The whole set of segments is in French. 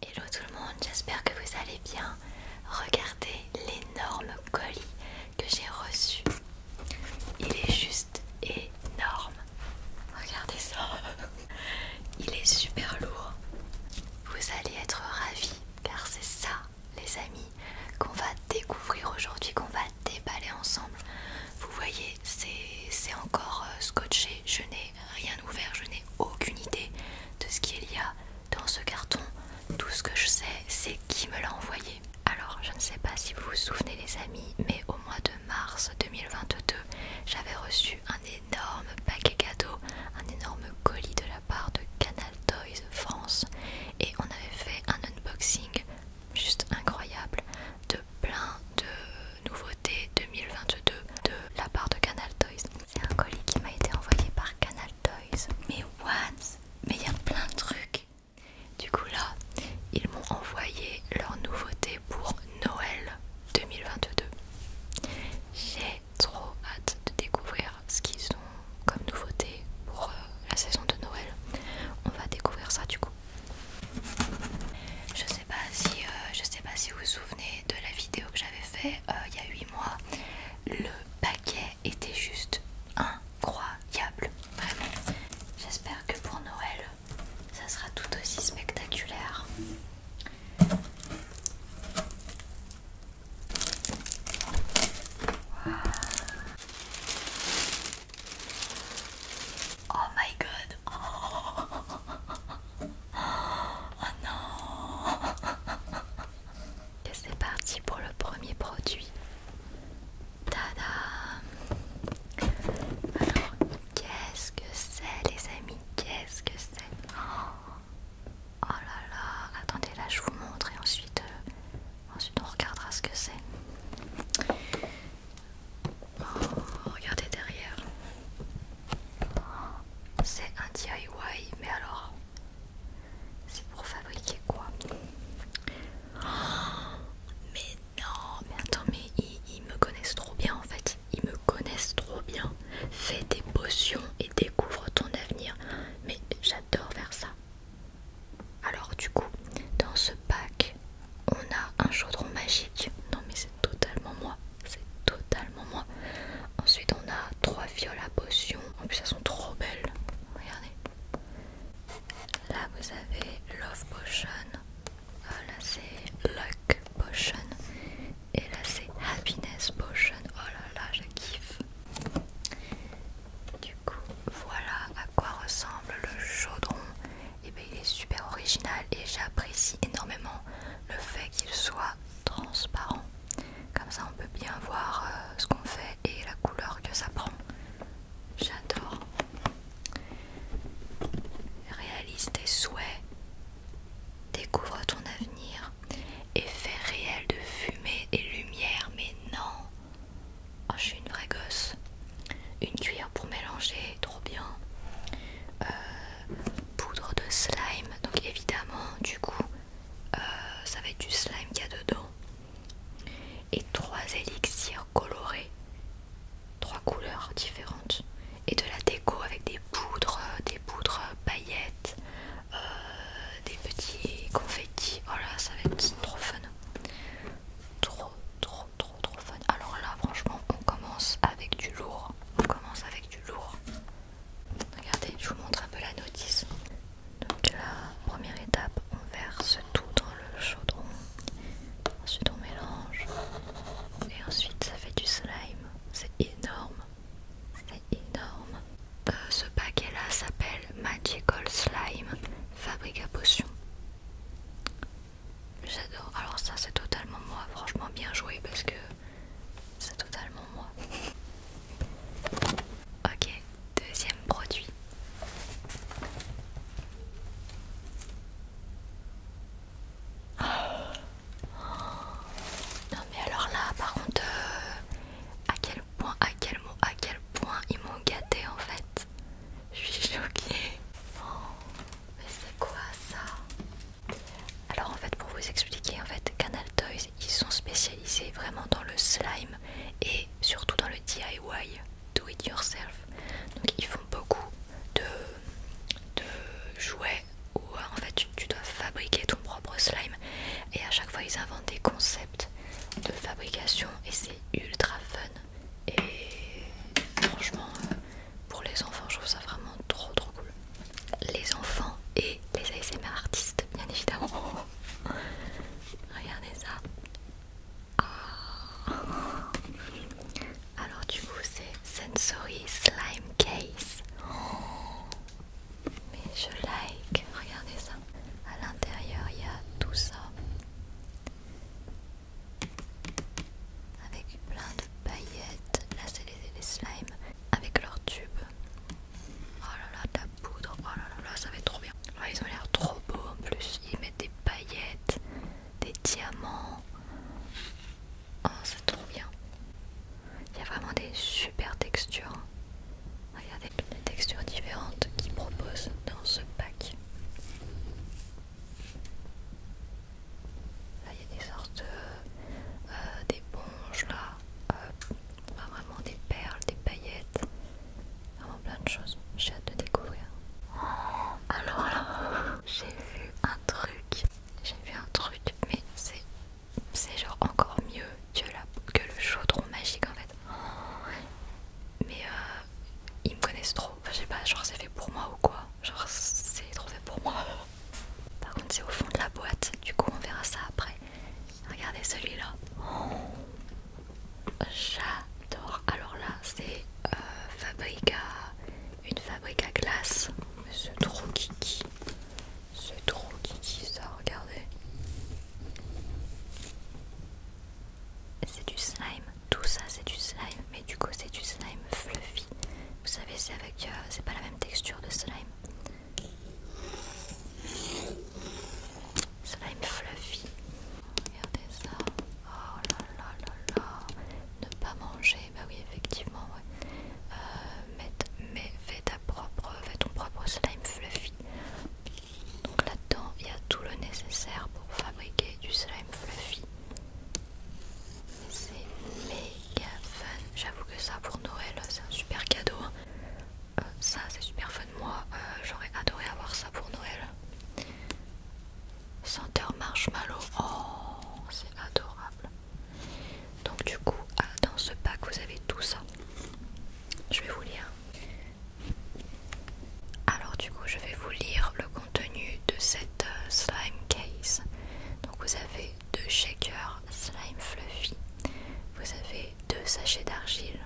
Hello tout le monde, j'espère que vous allez bien. Regardez l'énorme colis que j'ai reçu. Il est juste énorme. Regardez ça. Il est super lourd. Vous allez être ravis car c'est ça les amis qu'on va découvrir aujourd'hui, qu'on va déballer ensemble. Vous voyez, c'est encore euh, scotché. Je n'ai rien ouvert, je n'ai aucune idée de ce qu'il y a dans ce carton. Tout ce que je sais, c'est qui me l'a envoyé. Alors, je ne sais pas si vous vous souvenez les amis, mais au mois de mars 2022, j'avais reçu un énorme paquet cadeau, un énorme colis de la part de Canal Toys France et on avait fait un unboxing juste incroyable de plein de nouveauté 2022 de la part de Canal Toys. C'est un colis qui m'a été envoyé par Canal Toys. Mais what Mais il y a plein de trucs. Du coup là, ils m'ont envoyé leur nouveauté pour Noël 2022. J'ai trop hâte de découvrir ce qu'ils ont comme nouveauté pour euh, la saison de Noël. On va découvrir ça du coup. Je pas si euh, je sais pas si vous vous souvenez de la vidéo que j'avais fait euh, il y a 8 mois. Le paquet était juste incroyable, vraiment. J'espère que pour Noël, ça sera tout aussi spectaculaire. Oh my god! Oh non Et c'est parti pour le premier produit. Tada Alors, qu'est-ce que c'est les amis Qu'est-ce que c'est Oh là là Attendez, là je vous montre et ensuite, euh, ensuite on regardera ce que c'est. Oh, regardez derrière. C'est un DIY, mais alors, c'est pour fabriquer quoi oh, Mais non, mais attends, mais ils, me connaissent trop bien en fait. Ils me connaissent trop bien. Fais des potions et découvre ton avenir. Mais j'adore faire ça. Alors du coup, dans ce pack, on a un chaudron magique. Non mais c'est totalement moi. C'est totalement moi. Ensuite on a trois viols à potion. En plus elles sont trop belles. Regardez. Là vous avez Love Potion. Ah, là c'est Luck Potion. Et là c'est Happiness Potion. Oh là là, je kiffe. Du coup, voilà à quoi ressemble le chaudron et eh bien il est super original et j'apprécie énormément le fait qu'il soit transparent. Comme ça on peut bien voir euh, ce qu'on fait et la couleur que ça prend. J'adore. Réalise tes souhaits, découvre ton avenir, effet réel de fumée et lumière, mais non. Oh, je suis une vraie gosse une cuillère pour mélanger, trop bien. Euh, poudre de slime, donc évidemment, du coup, euh, ça va être du slime qu'il y a dedans. Et trois élixirs colorés, trois couleurs différentes. Et de la déco avec des poudres, des poudres paillettes, euh, des petits confettis. Voilà, oh ça va être trop fun. Trop, trop trop trop fun. Alors là franchement on commence avec du lourd. On commence avec du lourd. Regardez, je vous montre un peu la notice. Donc la première étape, on verse tout dans le chaudron. Ensuite on mélange. Et ensuite ça fait du slime. C'est énorme. C'est énorme. Euh, ce paquet là s'appelle Magical Slime Fabrique à potion. J'adore. Alors ça c'est totalement moi. Franchement bien joué parce que c'est totalement moi. Ok, deuxième produit. Non mais alors là par contre euh, à quel point à quel mot à quel point ils m'ont gâté en fait je suis choquée. Oh, mais c'est quoi ça Alors en fait, pour vous expliquer, en fait, Canal Toys, ils sont spécialisés vraiment dans le slime et surtout dans le DIY, do it yourself. Donc ils font beaucoup de, jouets où en fait tu dois fabriquer ton propre slime et à chaque fois ils inventent des concepts de fabrication et c'est ultra fun et franchement euh, pour les enfants je trouve ça vraiment trop trop cool les enfants et les ASMR artistes bien évidemment regardez ça ah. alors du coup c'est Sensory Slime Case oh. mais je like regardez ça à l'intérieur il y a tout ça avec plein de paillettes. Là, c'est les, slimes avec leurs tubes. Oh là là, la poudre. Oh là là, ça va être trop bien. Ah, ils ont l'air trop beaux en plus. Ils mettent des paillettes, des diamants. Oh, c'est trop bien. Il y a vraiment des super textures. Regardez les textures différentes qu'ils proposent dans ce pack. Là, il y a des sortes euh, euh d'éponges, là, euh, pas vraiment des perles, des paillettes, vraiment plein de choses. J'ai hâte de découvrir. Alors là, j'ai vu un truc, j'ai vu un truc, mais c'est genre encore mieux que, que le chaudron magique en fait. Mais euh, ils me connaissent trop. je sais pas, genre c'est fait pour moi ou quoi. Genre c'est trop fait pour moi. Par contre, c'est au fond de la boîte. Du coup, on verra ça après. Regardez celui-là. Oh, j'adore. Alors là, c'est euh, Fabrica, une fabrique à glace. Mais c'est trop kiki. C'est trop kiki ça, regardez. C'est du slime. Tout ça c'est du slime, mais du coup c'est du slime fluffy. Vous savez, c'est avec, euh, c'est pas la même texture de slime. Slime fluffy. Regardez ça. Oh là là là là. Ne pas manger, bah oui effectivement. Ouais. Euh, mais, mais ta propre, fais ton propre slime fluffy. Donc là-dedans, il y a tout le nécessaire pour fabriquer du slime fluffy. C'est méga fun. J'avoue que ça pour Noël, c'est un super cadeau. Hein. Euh, ça, c'est super fun. Moi, euh, j'aurais adoré avoir ça pour Noël. Senteur marshmallow. Oh, c'est adorable. Donc du coup, ah, dans ce pack, vous avez tout ça. Je vais vous lire. Alors du coup je vais vous lire le contenu de cette euh, slime case. Donc vous avez deux shakers slime fluffy, vous avez deux sachets d'argile,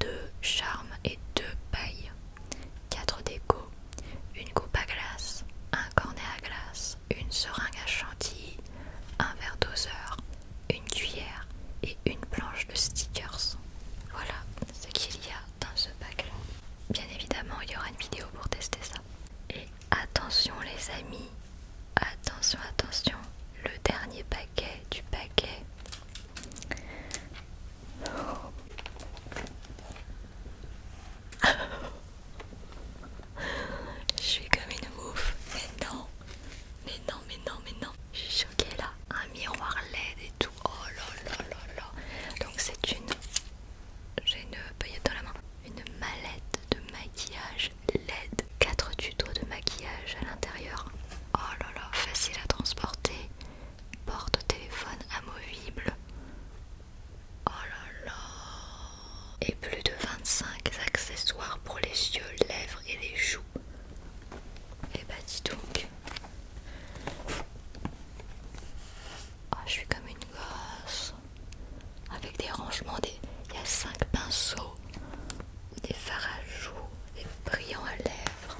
deux charmes et deux pailles, quatre décos, une coupe à glace, un cornet à glace, une seringue à chantilly, un verre doseur, une cuillère et une planche de stickers. Voilà ce qu'il y a dans ce paquet. Bien évidemment, il y aura une vidéo pour tester ça. Et attention les amis, attention, attention, le dernier paquet du paquet. Je suis comme une mouffe, mais non, mais non, mais non, mais non. Je là. Un miroir LED et tout. Oh là là là là. Donc c'est une... J'ai une paillette dans la main. Une mallette de maquillage LED. 4 tutos de maquillage à l'intérieur. Oh là là, facile à transporter. Porte téléphone amovible. Oh là là. Et plus de 25 accessoires pour les yeux, lèvres et les joues. Et eh bah ben, dis donc. Ah, je suis comme une gosse. Avec des rangements, des... il y a 5 pinceaux, des fards à joues, des brillants à lèvres,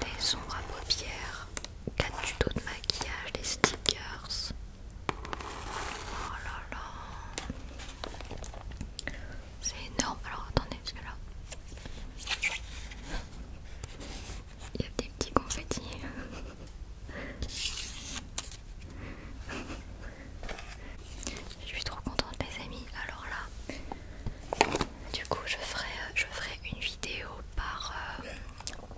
des ombres à paupières, 4 tutos de maquillage, des stickers. Oh là là. C'est énorme. Alors attendez, parce que là. Il y a des petits confettis. Je suis trop contente les amis. Alors là, du coup je ferai, euh, je ferai une vidéo par, euh,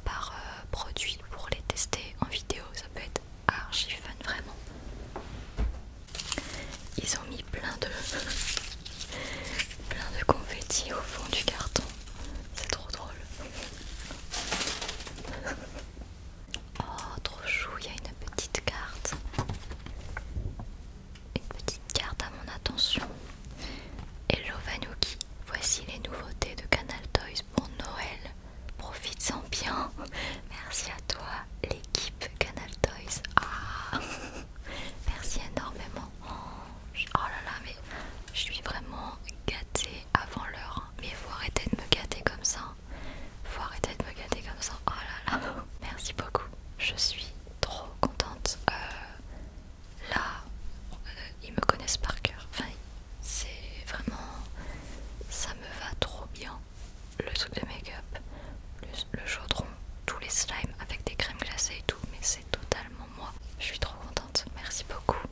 par euh, produit pour les tester en vidéo. Ça peut être archi fun vraiment. Ils ont mis plein de plein de confettis au fond du carton. C'est trop drôle. Oh, trop chou, il y a une petite carte. Une petite carte à mon attention. Hello Vanuki, voici les nouveautés de Canal Toys pour Noël. profite en bien. Merci à toi l'équipe Canal Toys. Ah, merci énormément. Oh là là, mais je suis vraiment gâtée avant l'heure. Mais faut arrêter de me gâter comme ça. Faut arrêter de me gâter comme ça. Oh là là. Merci beaucoup. Je suis trop contente. Euh, là, euh, ils me connaissent par cœur. c'est vraiment... Ça me va trop bien le truc de make-up, le, chaudron, tous les slimes avec des crèmes glacées et tout, mais c'est totalement moi. Je suis trop contente, merci beaucoup.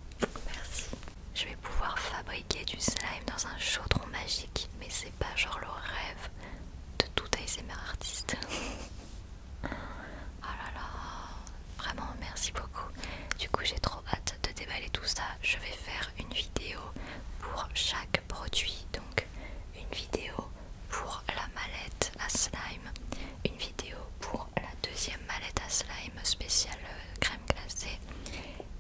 Merci. Je vais pouvoir fabriquer du slime dans un chaudron magique, mais c'est pas genre le rêve de tout ASMR artiste. ah là là, vraiment merci beaucoup. Du coup, j'ai trop hâte de déballer tout ça. Je vais faire une vidéo pour chaque produit donc une vidéo pour la mallette à slime, une vidéo pour la deuxième mallette à slime spéciale euh, crème glacée,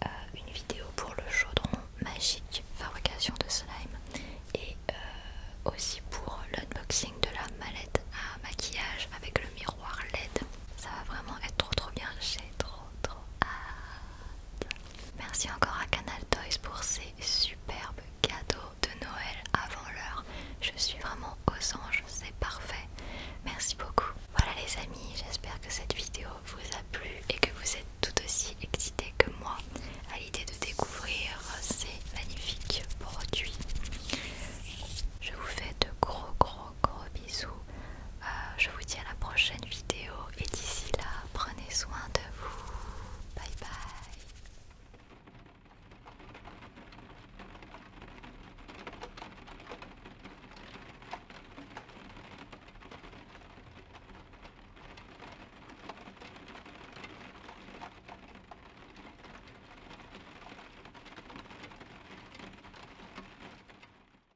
euh, une vidéo pour le chaudron magique fabrication de slime et euh, aussi pour l'unboxing de la mallette à maquillage avec le miroir LED. Ça va vraiment être trop trop bien, j'ai trop trop hâte. Merci encore à Canal Toys pour ces superbes cadeaux de Noël avant l'heure. Je suis vraiment aux anges, c'est parfait. Merci beaucoup. Voilà les amis, j'espère que cette vidéo vous a plu et que vous êtes tout aussi excités que moi à l'idée de découvrir ces magnifiques produits. Je vous fais de gros gros gros euh, je vous dis à la prochaine vidéo et d'ici là, prenez soin de vous. Bye bye.